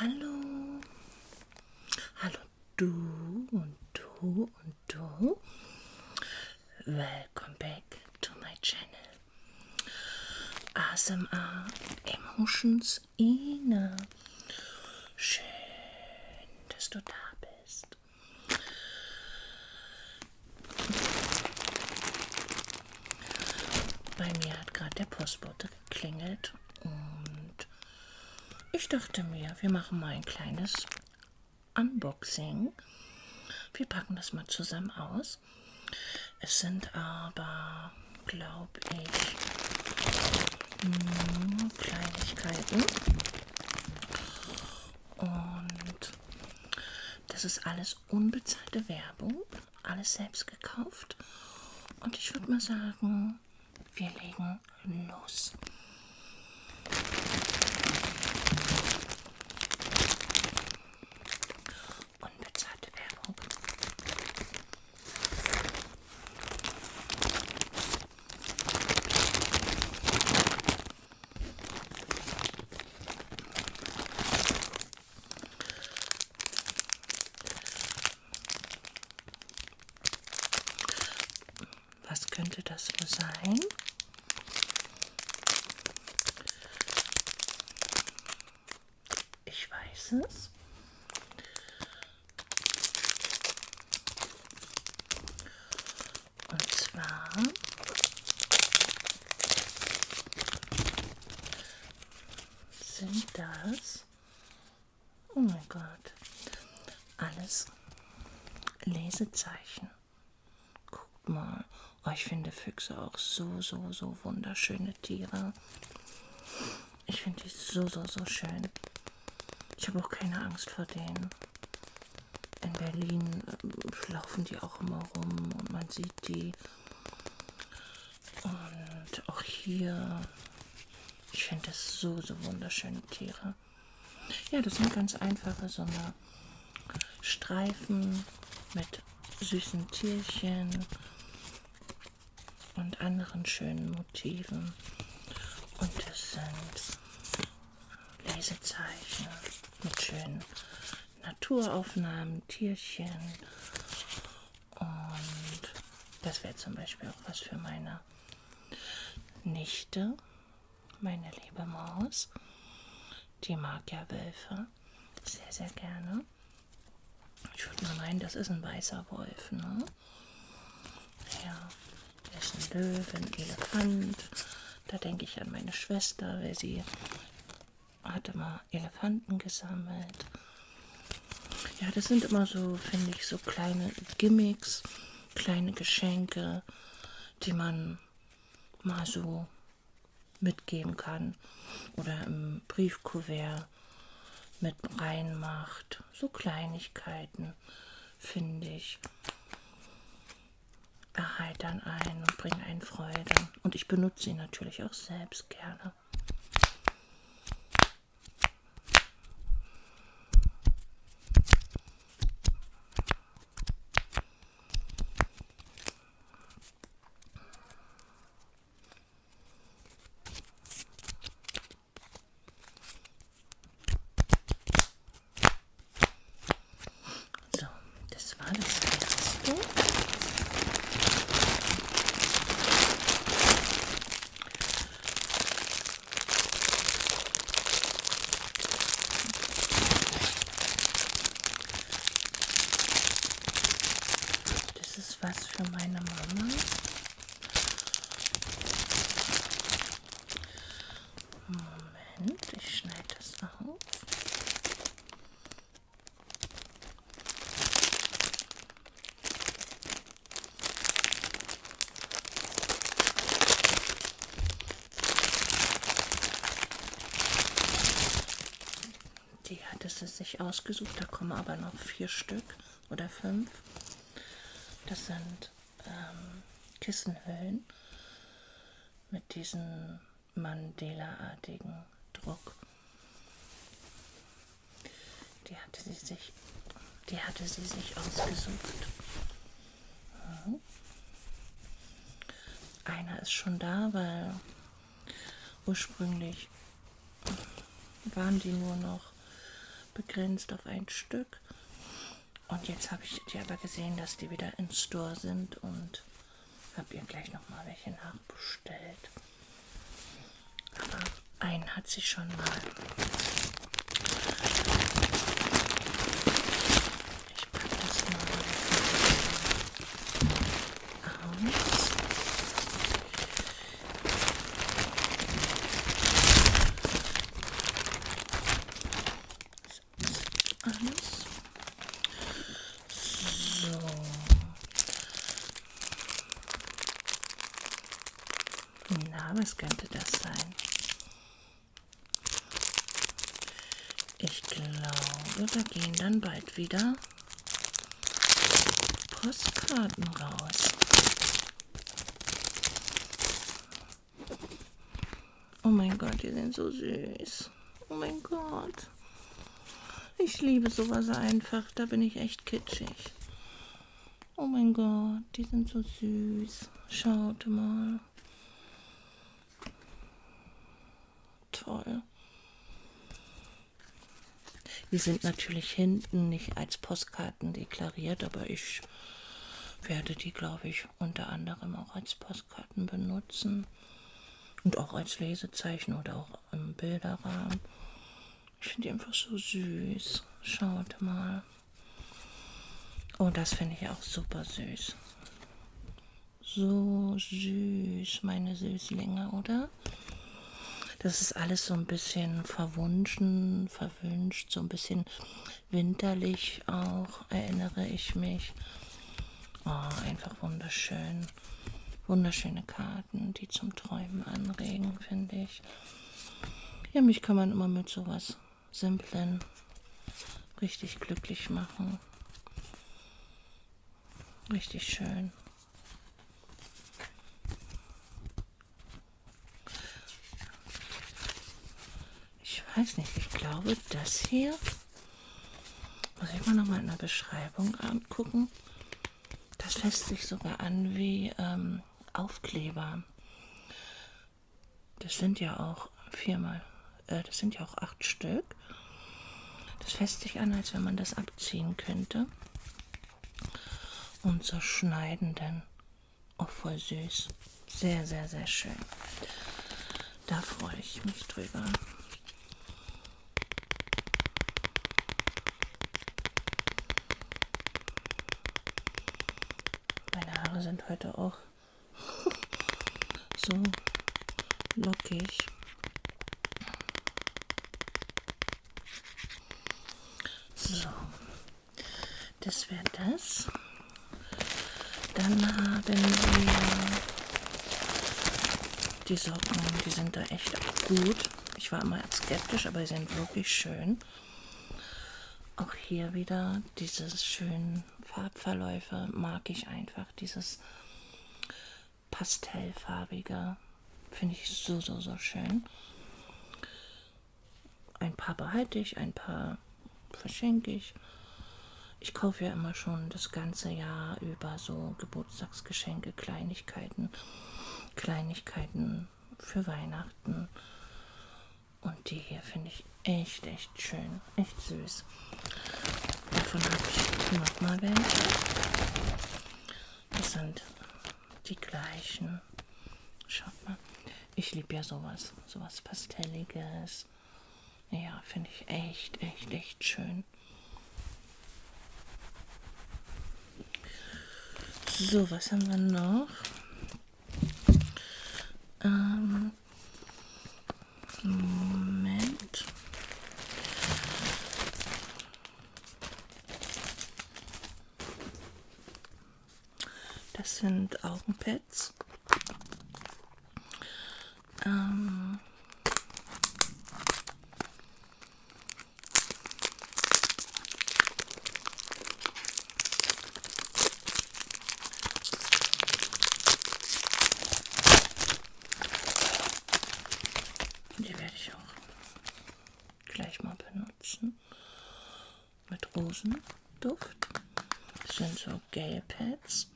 Hallo. Hallo du und du und du. Welcome back to my channel. ASMR Emotions Ina. Schön, dass du da bist bist. Bei mir hat gerade der Postbote geklingelt und ich dachte mir, wir machen mal ein kleines Unboxing. Wir packen das mal zusammen aus. Es sind aber, glaube ich, Kleinigkeiten. Und das ist alles unbezahlte Werbung, alles selbst gekauft. Und ich würde mal sagen, wir legen los. Unbezahlte Werbung. Was könnte das nur sein? Ich weiß es. Und zwar sind das, oh mein Gott, alles Lesezeichen. Guckt mal, oh, ich finde Füchse auch so, so, so wunderschöne Tiere. Ich finde die so, so, so schön. Ich habe auch keine Angst vor denen. In Berlin äh, laufen die auch immer rum und man sieht die. Und auch hier. Ich finde das so, so wunderschöne Tiere. Ja, das sind ganz einfache so eine Streifen mit süßen Tierchen und anderen schönen Motiven. Und es sind Lesezeichen mit schönen Naturaufnahmen, Tierchen. Und das wäre zum Beispiel auch was für meine Nichte, meine liebe Maus. Die mag ja Wölfe sehr, sehr gerne. Ich würde mal meinen, das ist ein weißer Wolf, ne? Ja, hier ist ein Löwe, ein Elefant. Da denke ich an meine Schwester, weil sie hatte mal Elefanten gesammelt. Ja, das sind immer so, finde ich, so kleine Gimmicks, kleine Geschenke, die man mal so mitgeben kann. Oder im Briefkuvert mit Brein macht. So Kleinigkeiten, finde ich, erheitern einen und bringen einen Freude. Und ich benutze ihn natürlich auch selbst gerne. So, das war das erste. Das ist was für meine Mama. Moment, ich schneide das auf. Die hatte sie sich ausgesucht, da kommen aber noch vier Stück oder fünf. Das sind ähm, Kissenhüllen mit diesem Mandela-artigen Druck. Die hatte sie sich, die hatte sie sich ausgesucht. Mhm. Einer ist schon da, weil ursprünglich waren die nur noch begrenzt auf ein Stück. Und jetzt habe ich die aber gesehen, dass die wieder im Store sind und habe ihr gleich nochmal welche nachbestellt. Aber einen hat sie schon mal. Ich packe das mal aus. Alles. So. Na, was könnte das sein? Ich glaube, wir gehen dann bald wieder Postkarten raus. Oh mein Gott, die sind so süß. Oh mein Gott. Ich liebe sowas einfach. Da bin ich echt kitschig. Oh mein Gott, die sind so süß. Schaut mal. Toll. Die sind natürlich hinten nicht als Postkarten deklariert, aber ich werde die, glaube ich, unter anderem auch als Postkarten benutzen und auch als Lesezeichen oder auch im Bilderrahmen. Ich finde die einfach so süß. Schaut mal. Oh, das finde ich auch super süß. So süß, meine Süßlinge, oder? Ne? Das ist alles so ein bisschen verwunschen, verwünscht, so ein bisschen winterlich auch, erinnere ich mich. Oh, einfach wunderschön. Wunderschöne Karten, die zum Träumen anregen, finde ich. Ja, mich kann man immer mit sowas Simplen richtig glücklich machen. Richtig schön. Ich weiß nicht, ich glaube, das hier muss ich mal nochmal in der Beschreibung angucken. Das lässt sich sogar an wie ähm, Aufkleber. Das sind ja auch viermal, äh, das sind ja auch acht Stück. Das fässt sich an, als wenn man das abziehen könnte. Und zerschneiden dann. Auch oh, voll süß. Sehr, sehr, sehr schön. Da freue ich mich drüber. Meine Haare sind heute auch so lockig. So, das wäre das. Dann haben wir die Socken, die sind da echt gut. Ich war immer skeptisch, aber sie sind wirklich schön. Auch hier wieder diese schönen Farbverläufe mag ich einfach. Dieses pastellfarbiger. Finde ich so, so, so schön. Ein paar behalte ich, ein paar verschenke ich. Ich kaufe ja immer schon das ganze Jahr über so Geburtstagsgeschenke, Kleinigkeiten, Kleinigkeiten für Weihnachten. Und die hier finde ich echt, echt schön, echt süß. Davon habe ich nochmal welche. Das sind die gleichen. Schaut mal. Ich liebe ja sowas. Sowas Pastelliges. Ja, finde ich echt, echt, echt schön. So, was haben wir noch? Ähm, Moment. Das sind Augenpads. Ähm die werde ich auch gleich mal benutzen. Mit Rosenduft. Das sind so Gale Pads.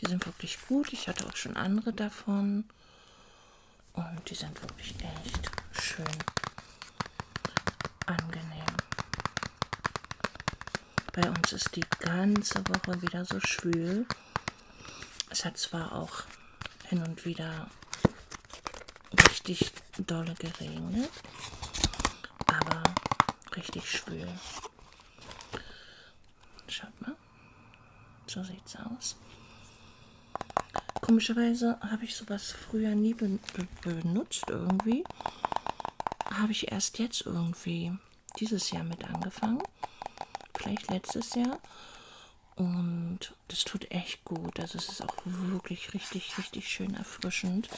Die sind wirklich gut. Ich hatte auch schon andere davon. Und die sind wirklich echt schön angenehm. Bei uns ist die ganze Woche wieder so schwül. Es hat zwar auch hin und wieder richtig dolle geregnet, aber richtig schwül. Schaut mal, so sieht's aus. Komischerweise habe ich sowas früher nie ben benutzt irgendwie. Habe ich erst jetzt irgendwie dieses Jahr mit angefangen vielleicht letztes Jahr. Und das tut echt gut. Also es ist auch wirklich richtig, richtig schön erfrischend.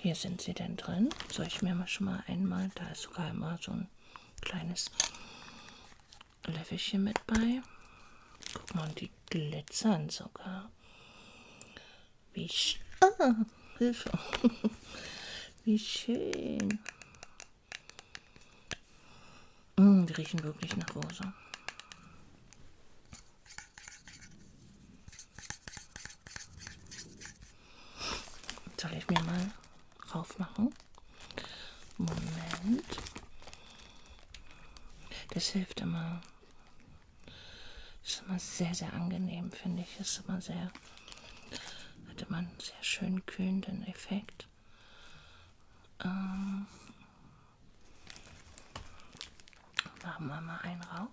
Hier sind sie denn drin. Soll ich mir mal schon mal einmal, da ist sogar immer so ein kleines Löffelchen mit bei. Guck mal, und die glitzern sogar. Wie ah, Hilfe. Wie schön. Mm, die riechen wirklich nach Rose. Soll ich mir mal raufmachen? Moment. Das hilft immer. Ist immer sehr, sehr angenehm, finde ich. Ist immer sehr, hat immer einen sehr schön kühlenden Effekt. Ähm, machen wir mal einen rauf.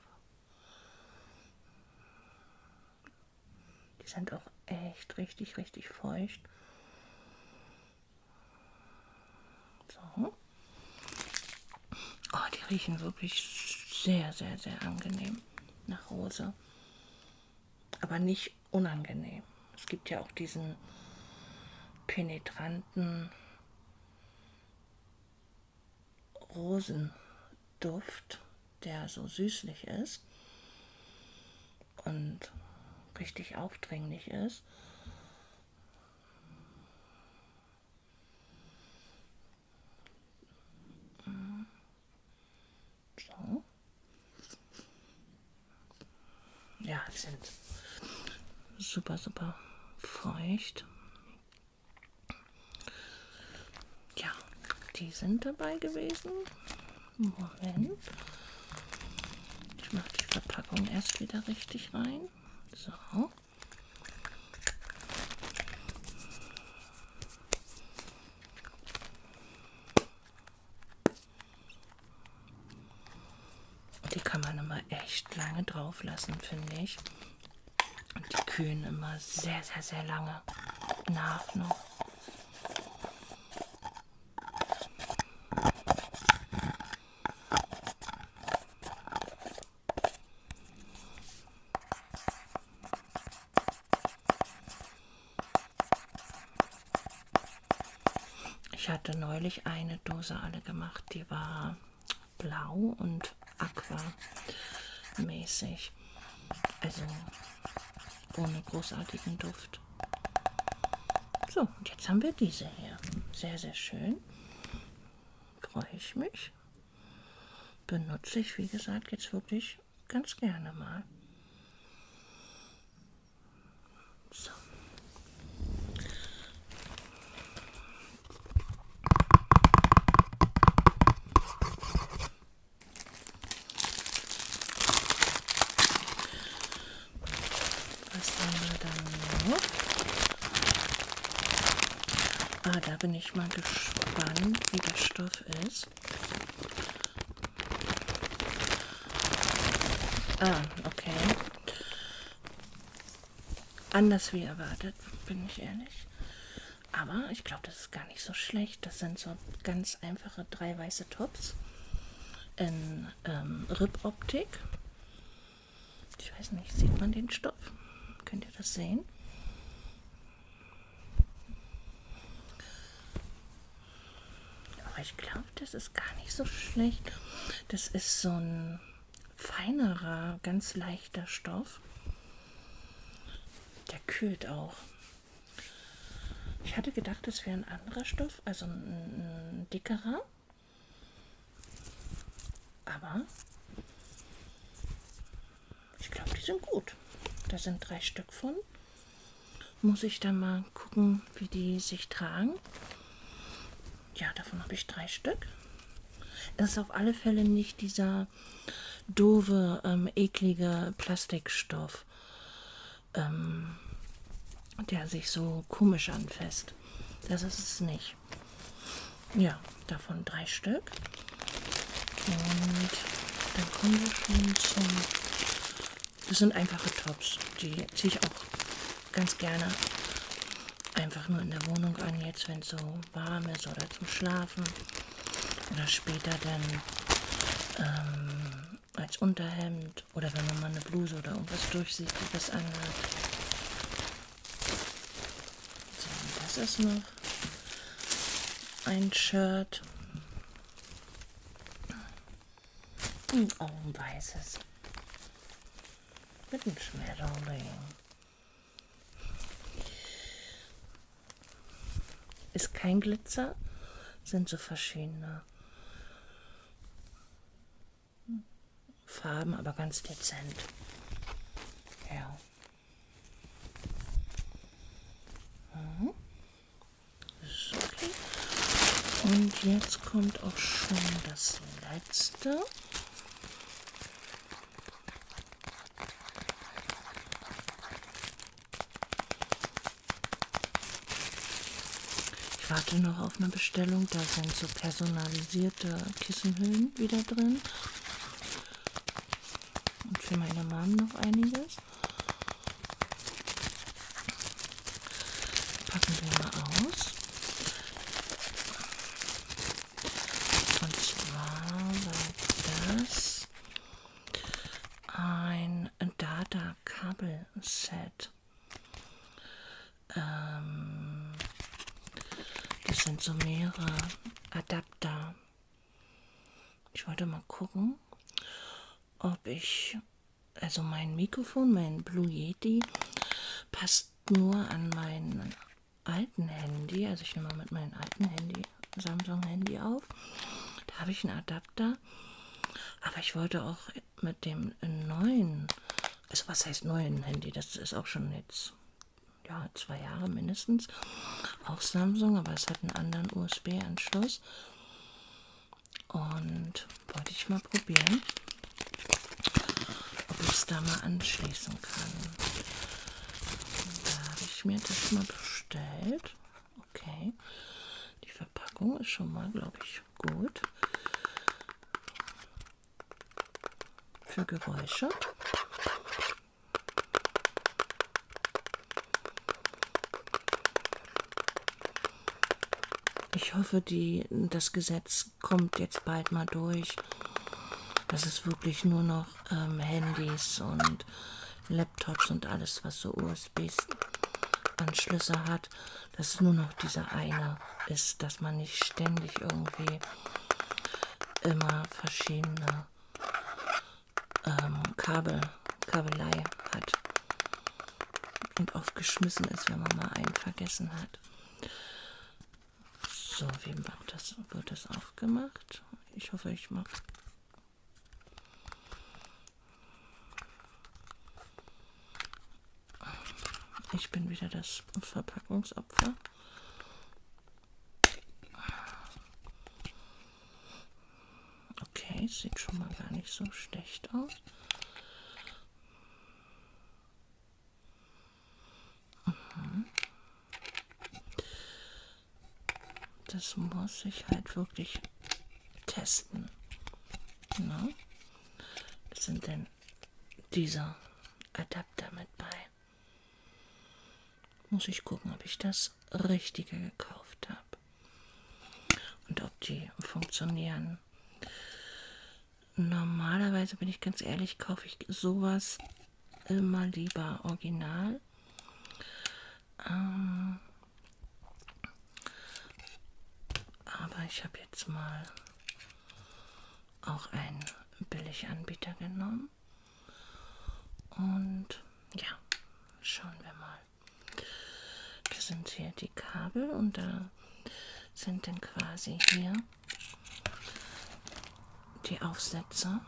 Die sind auch echt richtig, richtig feucht. So. Oh, die riechen wirklich sehr, sehr, sehr angenehm nach Rose. Aber nicht unangenehm. Es gibt ja auch diesen penetranten Rosenduft, der so süßlich ist und richtig aufdringlich ist. So. Äh, ja, die sind super, super feucht. Ja, die sind dabei gewesen. Moment. Ich mache die Verpackung erst wieder richtig rein. So. Die kann man immer echt lange drauf lassen, finde ich. Und die kühlen immer sehr, sehr, sehr lange nach noch. Ich hatte neulich eine Dose alle gemacht, die war blau und aqua mäßig. Also ohne großartigen Duft. So, und jetzt haben wir diese hier. Sehr, sehr schön freue ich mich. Benutze ich, wie gesagt, jetzt wirklich ganz gerne mal. So. Was haben wir da noch? Ah, da bin ich mal gespannt, wie der Stoff ist. Ah, okay. Anders wie erwartet, bin ich ehrlich. Aber ich glaube, das ist gar nicht so schlecht. Das sind so ganz einfache drei weiße Tops in ähm, Rippoptik. Ich weiß nicht, sieht man den Stoff? Könnt ihr das sehen? Aber ich glaube, das ist gar nicht so schlecht. Das ist so ein feinerer, ganz leichter Stoff. Der kühlt auch. Ich hatte gedacht, das wäre ein anderer Stoff, also ein, ein dickerer. Aber ich glaube, die sind gut. Da sind drei Stück von. Muss ich dann mal gucken, wie die sich tragen. Ja, davon habe ich drei Stück. Das ist auf alle Fälle nicht dieser doofe, ähm, eklige Plastikstoff, ähm, der sich so komisch anfasst. Das ist es nicht ich. Ja, davon drei Stück. Und dann kommen wir schon zum... Das sind einfache Tops. Die ziehe ich auch ganz gerne einfach nur in der Wohnung an, jetzt wenn es so warm ist oder zum Schlafen. Oder später dann ähm, als Unterhemd oder wenn man mal eine Bluse oder irgendwas durchsichtiges anhat. So, das ist noch ein Shirt. Und auch ein weißes. Mit einem Schmetterling. Ist kein Glitzer, sind so verschiedene Farben, aber ganz dezent. Ja. Mhm. Okay. Und jetzt kommt auch schon das letzte. Ich warte noch auf eine Bestellung. Da sind so personalisierte Kissenhüllen wieder drin. Und für meine Mom noch einiges. Packen wir mal aus. Und zwar war das ein Data-Kabel-Set. Ähm, das sind so mehrere Adapter. Ich wollte mal gucken, ob ich, also mein Mikrofon, mein Blue Yeti, passt nur an mein alten Handy. Also ich nehme mal mit meinem alten Handy, Samsung Handy auf. Da habe ich einen Adapter. Aber ich wollte auch mit dem neuen, also was heißt neuen Handy, das ist auch schon jetzt ja, zwei Jahre mindestens, auch Samsung, aber es hat einen anderen USB-Anschluss und wollte ich mal probieren, ob ich es da mal anschließen kann. Da habe ich mir das mal bestellt. Okay, die Verpackung ist schon mal, glaube ich, nicht. Gut. Für Geräusche. Ich hoffe, die, das Gesetz kommt jetzt bald mal durch, dass es wirklich nur noch ähm, Handys und Laptops und alles, was so USB-Anschlüsse hat, dass nur noch dieser eine ist, dass man nicht ständig irgendwie immer verschiedene ähm, Kabel, Kabelei hat und oft geschmissen ist, wenn man mal einen vergessen hat. So, wie macht das, wird das aufgemacht? Ich hoffe, ich mache ich bin wieder das Verpackungsopfer. Okay, sieht schon mal gar nicht so schlecht aus. Mhm. Das muss ich halt wirklich testen. Na? Ne? sind denn dieser Adapter mit bei? Muss ich gucken, ob ich das Richtige gekauft habe und ob die funktionieren. Normalerweise bin ich ganz ehrlich, kaufe ich sowas immer lieber original. Ähm, aber ich habe jetzt mal auch einen Billiganbieter genommen. Und ja, schauen wir mal. Das sind hier die Kabel und da sind dann quasi hier die Aufsätze,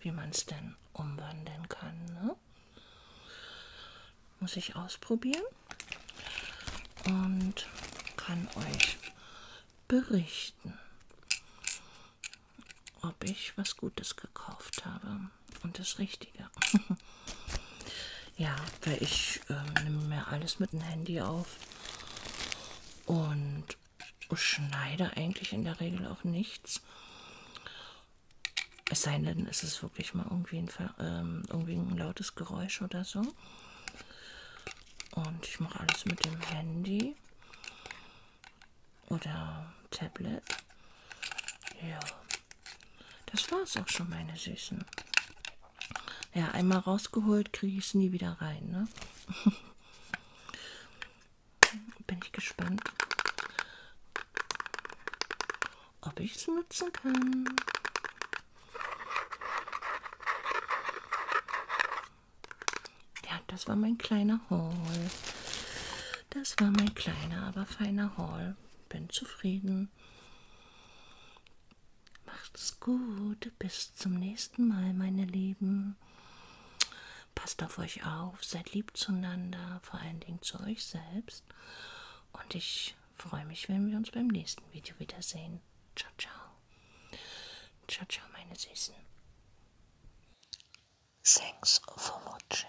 wie man es denn umwandeln kann. Ne? Muss ich ausprobieren und kann euch berichten, ob ich was Gutes gekauft habe und das Richtige. ja, weil ich äh, nehme mir alles mit dem Handy auf und schneide eigentlich in der Regel auch nichts. Es sei denn, es ist wirklich mal irgendwie ein, ähm, irgendwie ein lautes Geräusch oder so. Und ich mache alles mit dem Handy oder Tablet. Ja, das war es auch schon, meine Süßen. Ja, einmal rausgeholt, kriege ich es nie wieder rein. Ne? Bin ich gespannt, ob ich es nutzen kann. Ja, das war mein kleiner Haul. Das war mein kleiner, aber feiner Haul. Bin zufrieden. Macht's gut. Bis zum nächsten Mal, meine Lieben. Passt auf euch auf, seid lieb zueinander, vor allen Dingen zu euch selbst. Und ich freue mich, wenn wir uns beim nächsten Video wiedersehen. Ciao, ciao. Ciao, ciao, meine Süßen. Thanks for watching.